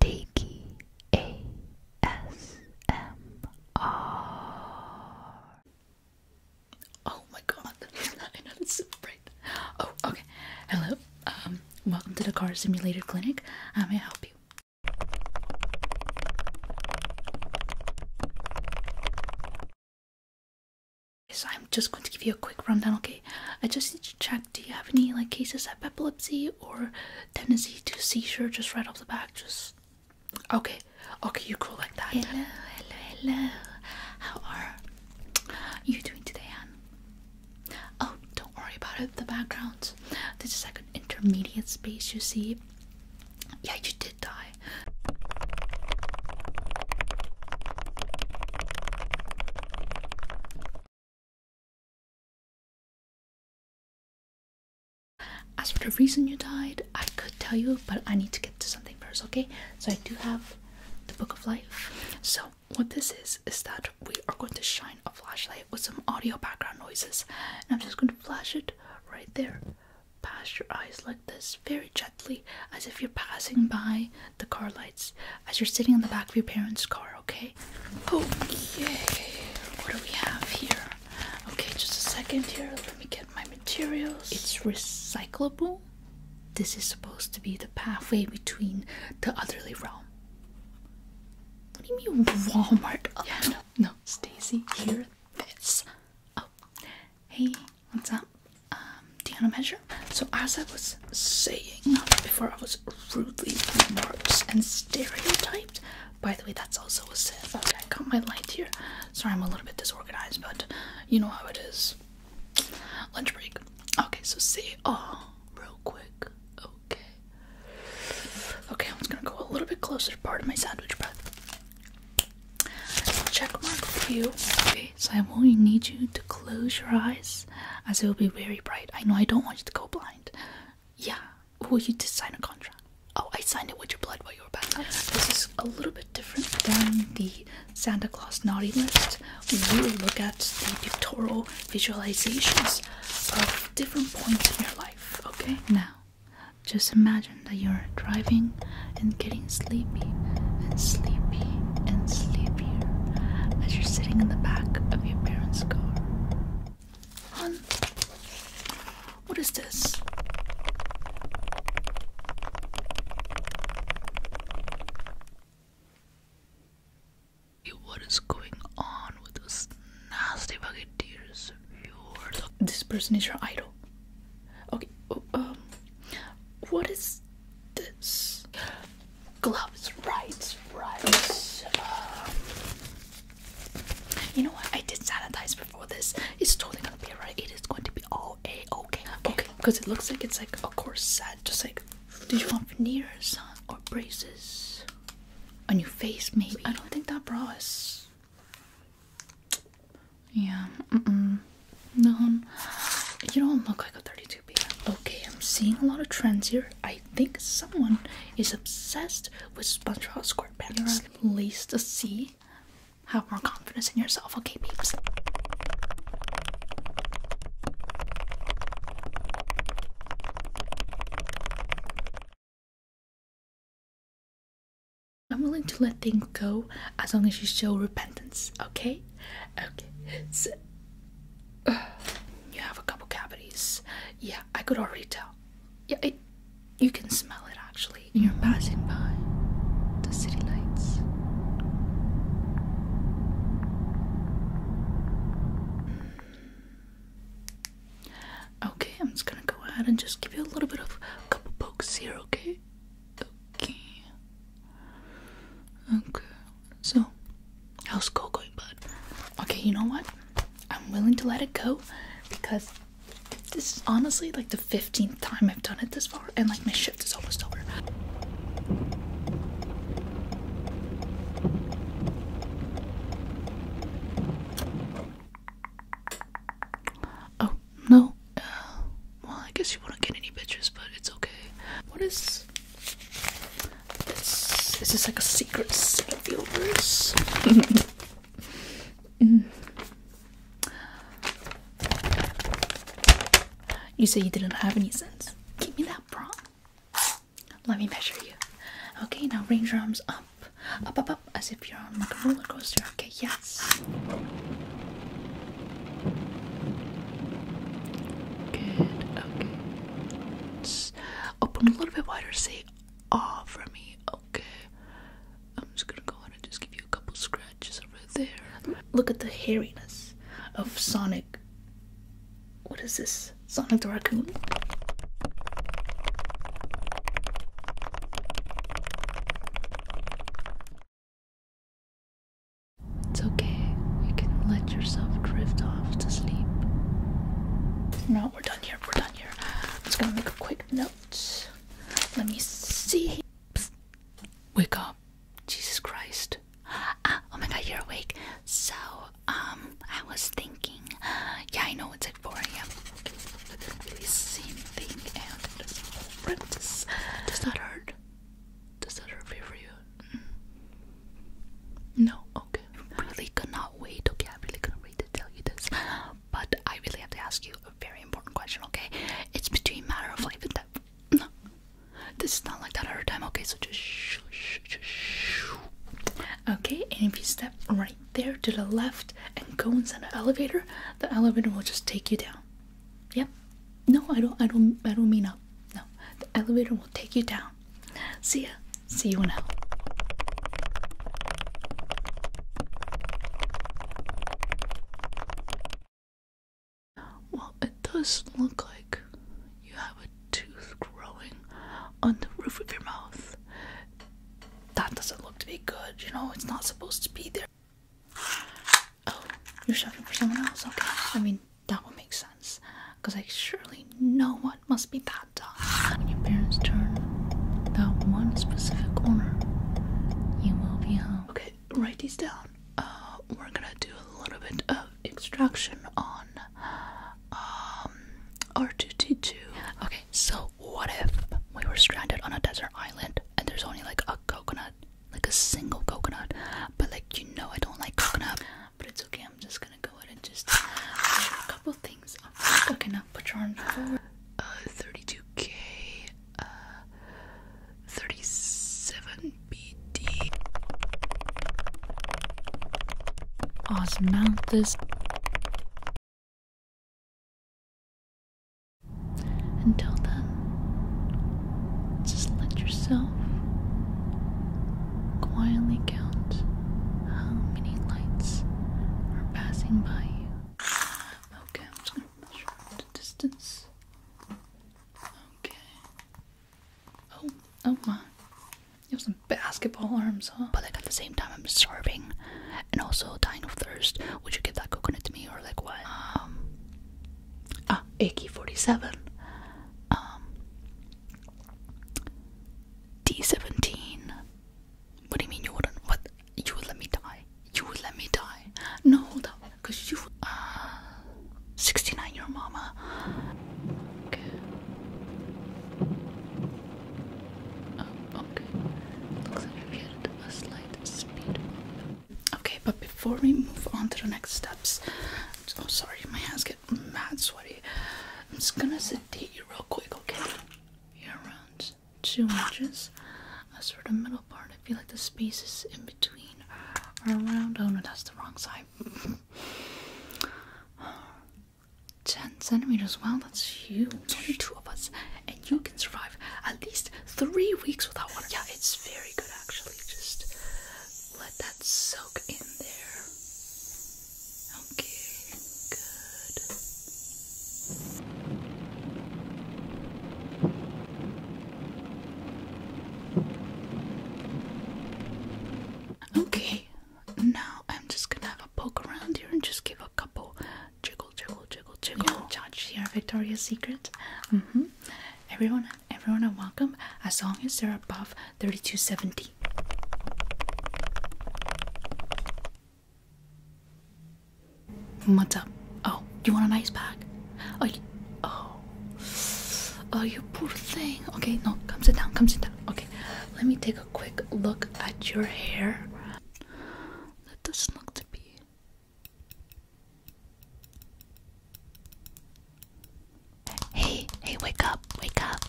Takey Oh my god, I know that's so Oh, okay. Hello, um, welcome to the Car Simulator Clinic. How may I help you? Yes, I'm just going to give you a quick rundown, okay? I just need to check. Do you have any like cases of epilepsy or tendency to seizure just right off the bat? Just okay, okay, you cool like that. Hello, hello, hello. How are you doing today, Anne? Oh, don't worry about it. The background. This is like an intermediate space. You see? Yeah, you did die. As for the reason you died, I could tell you, but I need to get to something first, okay? So I do have the Book of Life. So what this is is that we are going to shine a flashlight with some audio background noises, and I'm just going to flash it right there, past your eyes like this, very gently, as if you're passing by the car lights as you're sitting in the back of your parents' car, okay? Okay, what do we have here? Okay, just a second here. Let me get my materials. It's recyclable. This is supposed to be the pathway between the otherly realm. What do you mean, Walmart? Yeah, oh, no, no. Stacy, hear this. Oh, hey, what's up? Um, do you want to measure? So, as I was saying before, I was rudely remarked and stereotyped. By the way, that's also a sin. Okay, I got my light here. Sorry, I'm a little bit disorganized, but you know how it is. Lunch break. Okay, so say oh real quick. Okay. Okay, I'm just gonna go a little bit closer to part of my sandwich bread. Check mark for you. Okay, so I will need you to close your eyes as it will be very bright. I know I don't want you to go blind. Yeah. Well, you just sign a contract. Oh, I signed it with your blood while you were baptized. This is a little bit different than the Santa Claus naughty list. We really look at the pictorial visualizations of different points in your life. Okay. Now, just imagine that you're driving and getting sleepy and sleepy and sleepier as you're sitting in the back of your parents' car. Hon, what is this? What is going on with those nasty bucketeers? you this person is your idol. Okay, oh, um, what is this. Gloves, right, right. Uh, you know what? I did sanitize before this. It's totally gonna be alright. It is going to be all a okay. Okay, because it looks like it's like a corset. Just like, Do you want veneers or braces on your face? Maybe I don't think that bra is. Yeah. Mm -mm. No, you don't look like a 32 okay. I'm seeing a lot of trends here. I think someone is obsessed with SpongeBob SquarePants. at least to see. Have more confidence in yourself, okay, peeps. I'm willing to let things go as long as you show repentance, okay? Okay, so you have a couple cavities. Yeah, I could already tell. Yeah, you can smell it actually. You're passing by the city lights. Okay, I'm just gonna go ahead and just give you a little bit of a couple pokes here, okay? Okay. Okay. So, how's school going, bud? Okay, you know what? I'm willing to let it go because this is honestly like the 15th time I've done it this far, and like my shift is almost over. Oh, no. Uh, well, I guess you wouldn't get any pictures, but it's okay. What is this? Is this like a secret Sandfield mm. You said you didn't have any sense. Give me that prop. Let me measure you. Okay, now range your arms up, up, up, up, as if you're on like a roller coaster. Okay, yes. Good, okay. open a little bit wider, say ah for me, okay. I'm just gonna go ahead and just give you a couple scratches over there. Look at the hairiness of Sonic. What is this? Sonic the Raccoon? It's okay. You can let yourself drift off to sleep. No, we're done here. We're done here. I'm just gonna make a quick note. Let me see. Wake up. Jesus Christ. Ah, oh my god, you're awake. So, um, I was thinking. Yeah, I know it's at 4 a.m. Does that hurt? Does that hurt for you? Mm. No, okay. Really cannot wait. Okay, I really cannot wait to tell you this. But I really have to ask you a very important question, okay? It's between matter of life and death. No. This is not like that other time, okay? So just shh, shh, shh, Okay, and if you step right there to the left and go inside the elevator, the elevator will just take you down. Yep. No, I don't I don't I don't mean up. No. The elevator will take you down. See ya. See you in hell. Well, it does look like you have a tooth growing on the roof of your mouth. That doesn't look to be good, you know, it's not supposed to be there. Oh, you're shopping for someone else? Okay. I mean, that would make sense. Because, I surely no one must be that dumb. When your parents turn that one specific corner, you will be home. Okay, write these down. Uh, we're gonna do a little bit of extraction on um, R2T2. Okay, so what if we were stranded on a desert island and there's only like a coconut like a single coconut. But like you know I don't like coconut. But it's okay, I'm just gonna go ahead and just a couple things. Okay now put your arm forward. Uh 32k uh 37 BD osmanthus. Until then, just let yourself quietly count how many lights are passing by you. Okay, I'm just gonna measure the distance. Okay. Oh, oh my. You have some basketball arms, huh? But at the same time, I'm starving and also dying of thirst. Would you give that coconut to me or like what? Um, uh, AK-47, D-17. What do you mean you wouldn't? What? You would let me die? You would let me die? No, hold up, cause you, uh, 69 your mama. Okay. Oh, okay. Looks like we get a slight speed Okay, but before we move on to the next steps, I'm sorry, my hands get mad sweaty. I'm just gonna sedate you real quick, okay? around two inches. As for the middle part, I feel like the spaces in between are around. Oh no, that's the wrong side. 10 centimeters. Wow, that's huge. Only two of us you can survive at least three weeks without water. Yeah, it's very good actually. Just let that soak in there. Okay, good. Okay, now I'm just gonna have a poke around here and just give a couple jiggle, jiggle, jiggle, jiggle. No. Judge here, Victoria's Secret. Mm-hmm. Everyone, everyone welcome as long as they're above thirty-two seventy. What's up? Oh, you want an ice pack? Oh, you, oh, oh, you poor thing. Okay, no, come sit down. Come sit down. Okay, let me take a quick look at your hair. That doesn't look to be Hey, hey, wake up, wake up.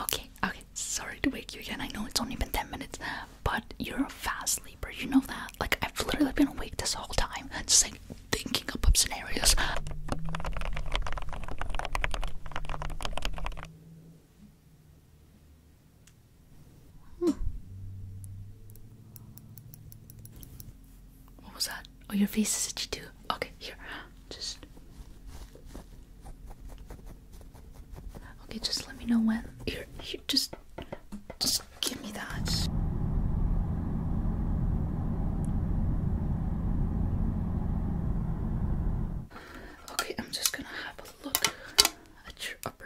Okay, okay, sorry to wake you again. I know it's only been 10 minutes, but you're a fast sleeper, you know that? Like, I've literally been awake this whole time, just like thinking up, of scenarios. What was that? Oh, your face is itchy too. Okay, here. Just. Okay, just let me know when. Here, here, just. Just give me that. Okay, I'm just gonna have a look at your upper.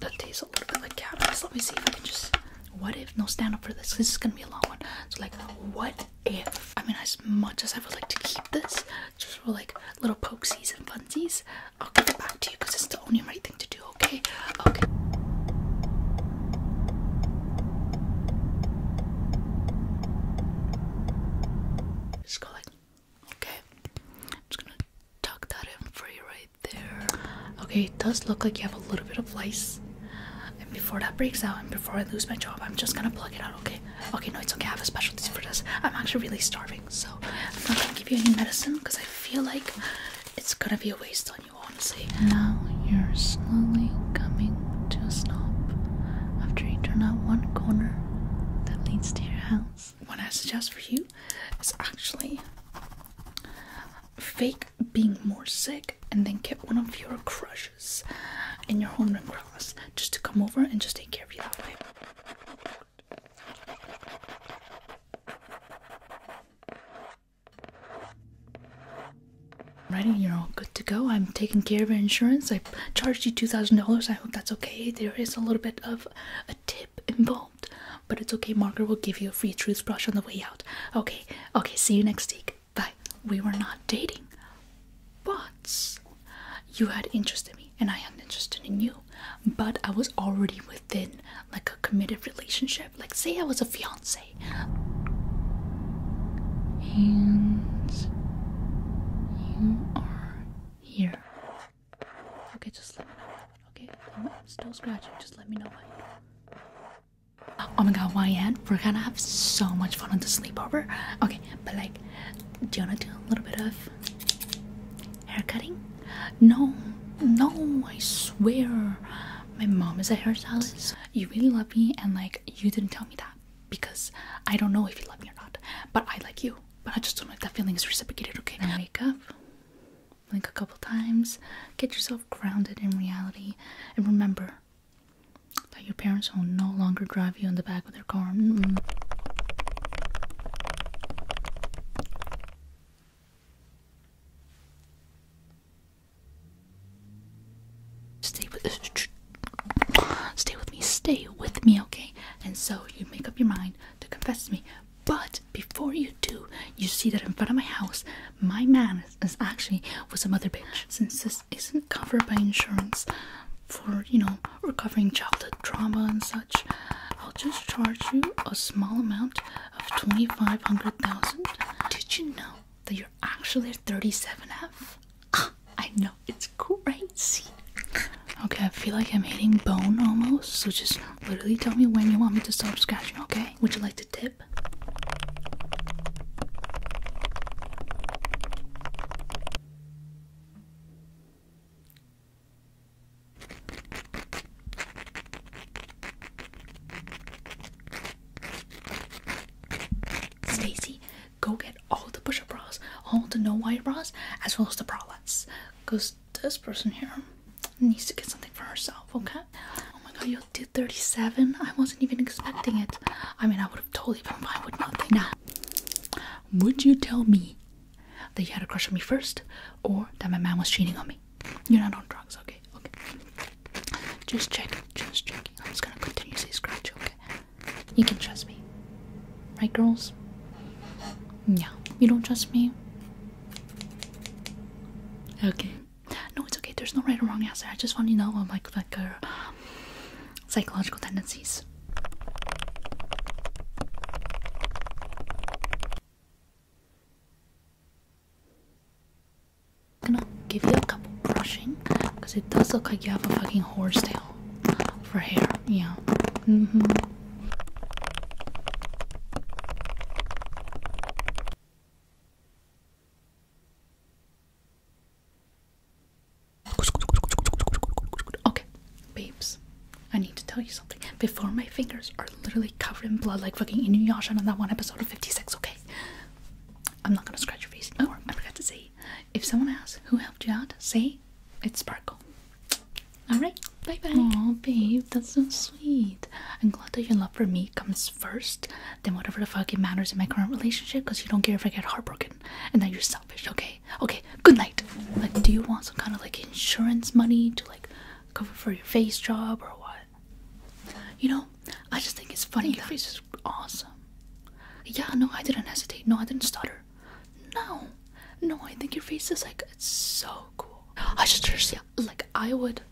that tastes a little bit like cat Let me see if I can just. What if? No, stand up for this. This is gonna be a long one. So, like, what if? I mean, as much as I would like to keep this, just for like little pokesies and funsies, I'll give it back to you because it's the only right thing to do, okay? Okay. Just go like, okay. I'm just gonna tuck that in for you right Okay, it does look like you have a little bit of lice. And before that breaks out and before I lose my job, I'm just gonna plug it out, okay? Okay, no, it's okay. I have a specialty for this. I'm actually really starving, so I'm not gonna give you any medicine because I feel like it's gonna be a waste on you, honestly. Now you're slowly coming to a stop after you turn out one corner that leads to your house. What I suggest for you is actually fake being more sick and then get one of your crushes in your home and cross just to come over and just take care of you that way. Ready, you're all good to go. I'm taking care of your insurance. I charged you $2,000. I hope that's okay. There is a little bit of a tip involved. But it's okay, Margaret will give you a free truth brush on the way out. Okay, okay, see you next week. Bye. We were not dating, but you had interest in me and I had interest in you. But I was already within like a committed relationship. Like say I was a fiance. And you are here. Okay, just let me know. Okay, I'm still scratching. Just let me know Oh my god, Wyan, we're gonna have so much fun on the sleepover. Okay, but like, do you wanna do a little bit of haircutting? No, no, I swear. My mom is a hairstylist. You really love me, and like, you didn't tell me that because I don't know if you love me or not. But I like you, but I just don't know if that feeling is reciprocated, okay? Now, wake up like a couple times. Get yourself grounded in reality and remember that your parents will no longer drive you in the back of their car. Stay with stay with me, stay with me, okay? And so you make up your mind to confess to me, but before you do, you see that in front of my house, my man is, actually was a mother bitch. Since this isn't covered by insurance for, you know, recovering childhood trauma and such, I'll just charge you a small amount of 2500,000. Did you know that you're actually a 37F? Ah, I know, it's crazy. Okay, I feel like I'm hitting bone almost, so just literally tell me when you want me to stop scratching, okay? Would you like to tip? Stacy, go get all the push-up bras, all the no-white bras, as well as the bralettes. Cause this person here needs to get something for herself, okay? Oh my god, you did 37? I wasn't even expecting it. I mean, I would have totally been fine with nothing. Now, would you tell me that you had a crush on me first or that my man was cheating on me? You're not on drugs, okay? Okay. Just checking, just checking. I'm just gonna continue continuously scratch okay? You can trust me. Right, girls? Yeah. You don't trust me? Okay. No, it's okay. There's no right or wrong answer. I just want to know like like her uh, psychological tendencies. I'm gonna give you a couple brushing because it does look like you have a fucking horse tail for hair. Yeah. hmm Okay, babes, I need to tell you something. Before my fingers are literally covered in blood, like fucking Inuyasha on that one episode of 56, okay? I'm not gonna scratch your face anymore. Oh, I forgot to say, if someone asks who helped you out, say it's Sparkle. Alright, bye bye. Oh, babe, that's so sweet. I'm glad that your love for me comes first then whatever the fuck it matters in my current relationship because you don't care if I get heartbroken and that you're selfish, okay? Okay, good night. Like, do you want some kind of like insurance money to like cover for your face job or what? You know, I just think it's funny. Your face is awesome. Yeah, no, I didn't hesitate. No, I didn't stutter. No, no, I think your face is like it's so cool. I just yeah, like I would,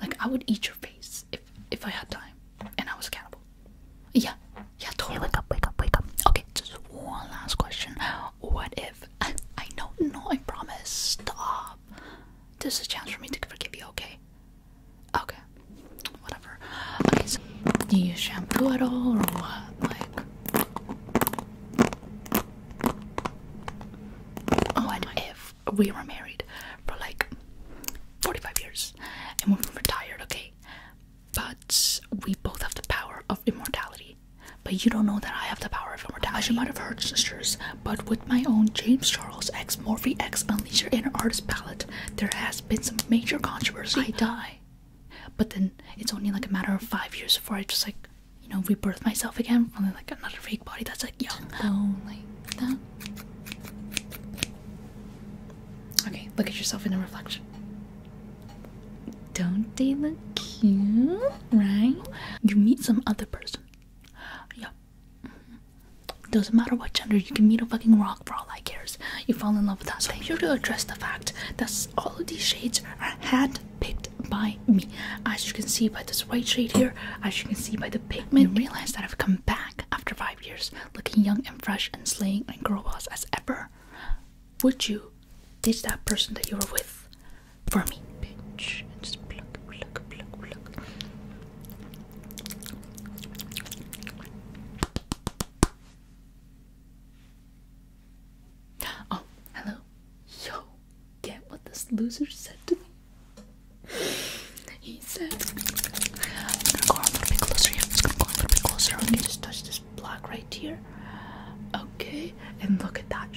like I would eat your face if if I had time and I was a cannibal. Yeah, yeah, totally. wake up, wake up, wake up. Okay, just one last question. What if I, I know, no, I promise. Stop. This is a chance for me to forgive you. Okay. Okay. Whatever. Okay. So, do you shampoo at all or what? Like. Oh what if we were married for like 45 years and we were retired, okay? But we both have the power of immortality. But you don't know that I have the power of immortality. You might have heard, sisters, but with my own James Charles X Morphy X Unleash Your Inner Artist palette, there has been some major controversy. I die. But then it's only like a matter of five years before I just like, you know, rebirth myself again from like another fake body that's like young. Okay, look at yourself in the reflection. Don't they look cute? Right? You meet some other person. Yeah. Mm-hmm. Doesn't matter what gender, you can meet a fucking rock for all I cares. You fall in love with that. So I'm here to address the fact that all of these shades shades hand picked by me. As you can see by this white shade here, as you can see by the pigment, Realized that I've come back after five years looking young and fresh and slaying and girl as ever. Would you ditch that person that you were with for me? Bitch, Oh, hello. Yo, get what this loser said to me. He said, I'm gonna go a little bit closer. Yeah, I'm just gonna go a little bit closer. Okay, just touch this block right here. Okay, and look at that.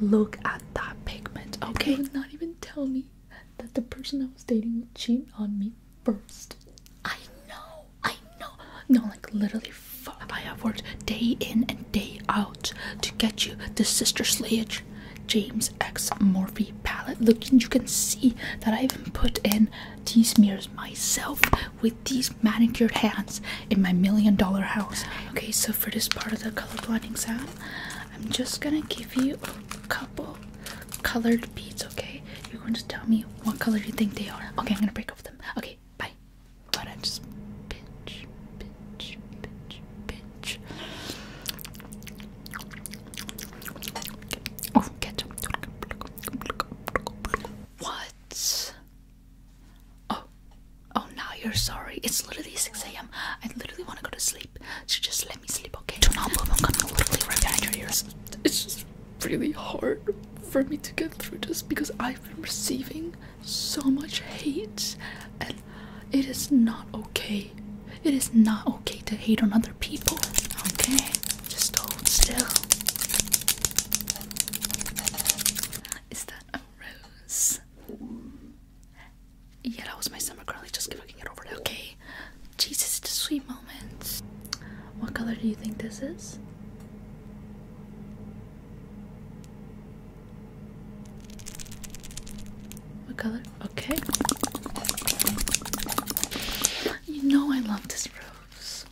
Look at that pigment. Okay, you would not even tell me that the person I was dating would cheat on me first. I know. I know. No, like literally, I have worked day in and day out to get you the Sister Slayage James X Morphe palette. Look, you can see that I even put in these smears myself with these manicured hands in my million dollar house. Okay, so for this part of the color blinding exam, I'm just gonna give you a couple colored beads, okay? You're going to tell me what color you think they are. Okay, I'm gonna break off them. Okay bye. But I just pinch, pinch, pinch, pinch. Oh, ketchup. What? Oh, oh, now you're sorry. It's literally 6 a.m. I literally want to go to sleep. So just let me sleep, okay? Do not move. I'm gonna literally rip out your ears. It's really hard for me to get through this because I've been receiving so much hate and it is not okay. It is not okay to hate on other people. Okay? Just hold still. Is that a rose? Yeah, that was my summer curly. Just fucking get over it, okay? Jesus, it's a sweet what color do you think this is? What color? Okay. You know I love this rose.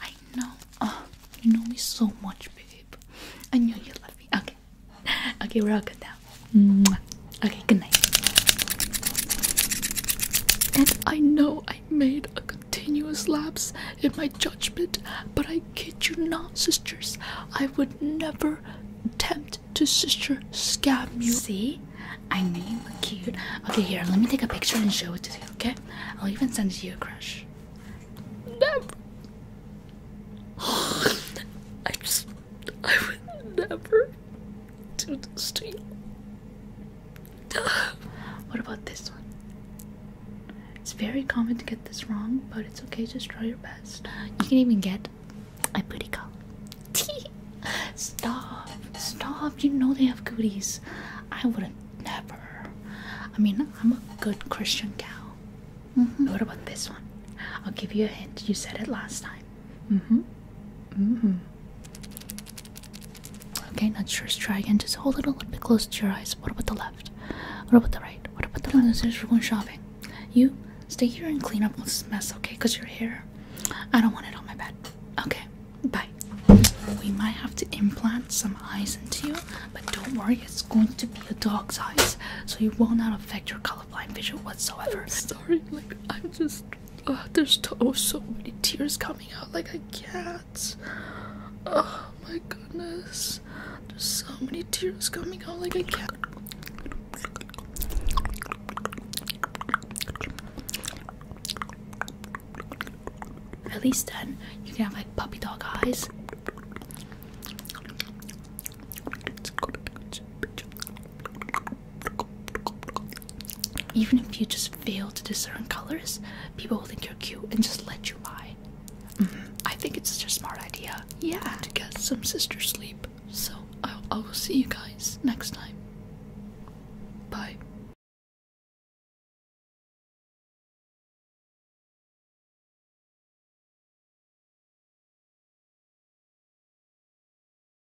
I know. Oh, you know me so much, babe. I knew you love me. Okay. Okay, we're all good now. Mm. Okay, good night. And I know I made a continuous lapse in my judgment, but I kid you not, sisters, I would never attempt to sister scam you. See? I knew a were Okay, here, let me take a picture and show it to you, okay? I'll even send it to your crush. Never. I just. I would never do this to you. what about this one? It's very common to get this wrong, but it's okay, just try your best. You can even get a booty call. stop, stop, you know they have goodies. I wouldn't never. I mean, I'm a good Christian gal. Mm-hmm. What about this one? I'll give you a hint. You said it last time. Mm-hmm. Mm-hmm. Okay, not sure. let try again. Just hold it a little bit close to your eyes. What about the left? What about the right? What about the left? Since we're going shopping, you stay here and clean up all this mess, okay? Because your hair, I don't want it on my bed. Okay, bye. We might have to implant some eyes into you, but don't worry, it's going to be a dog's eyes, so it will not affect your colorblind vision whatsoever. sorry, like I'm just uh, there's oh so many tears coming out like I can't. Oh my goodness, there's so many tears coming out like I can't. At least then you can have like puppy dog eyes. Even if you just fail to discern colors, people will think you're cute and just let you by. Mm-hmm. I think it's such a smart idea. Yeah, to get some sister sleep. So I will see you guys next time. Bye.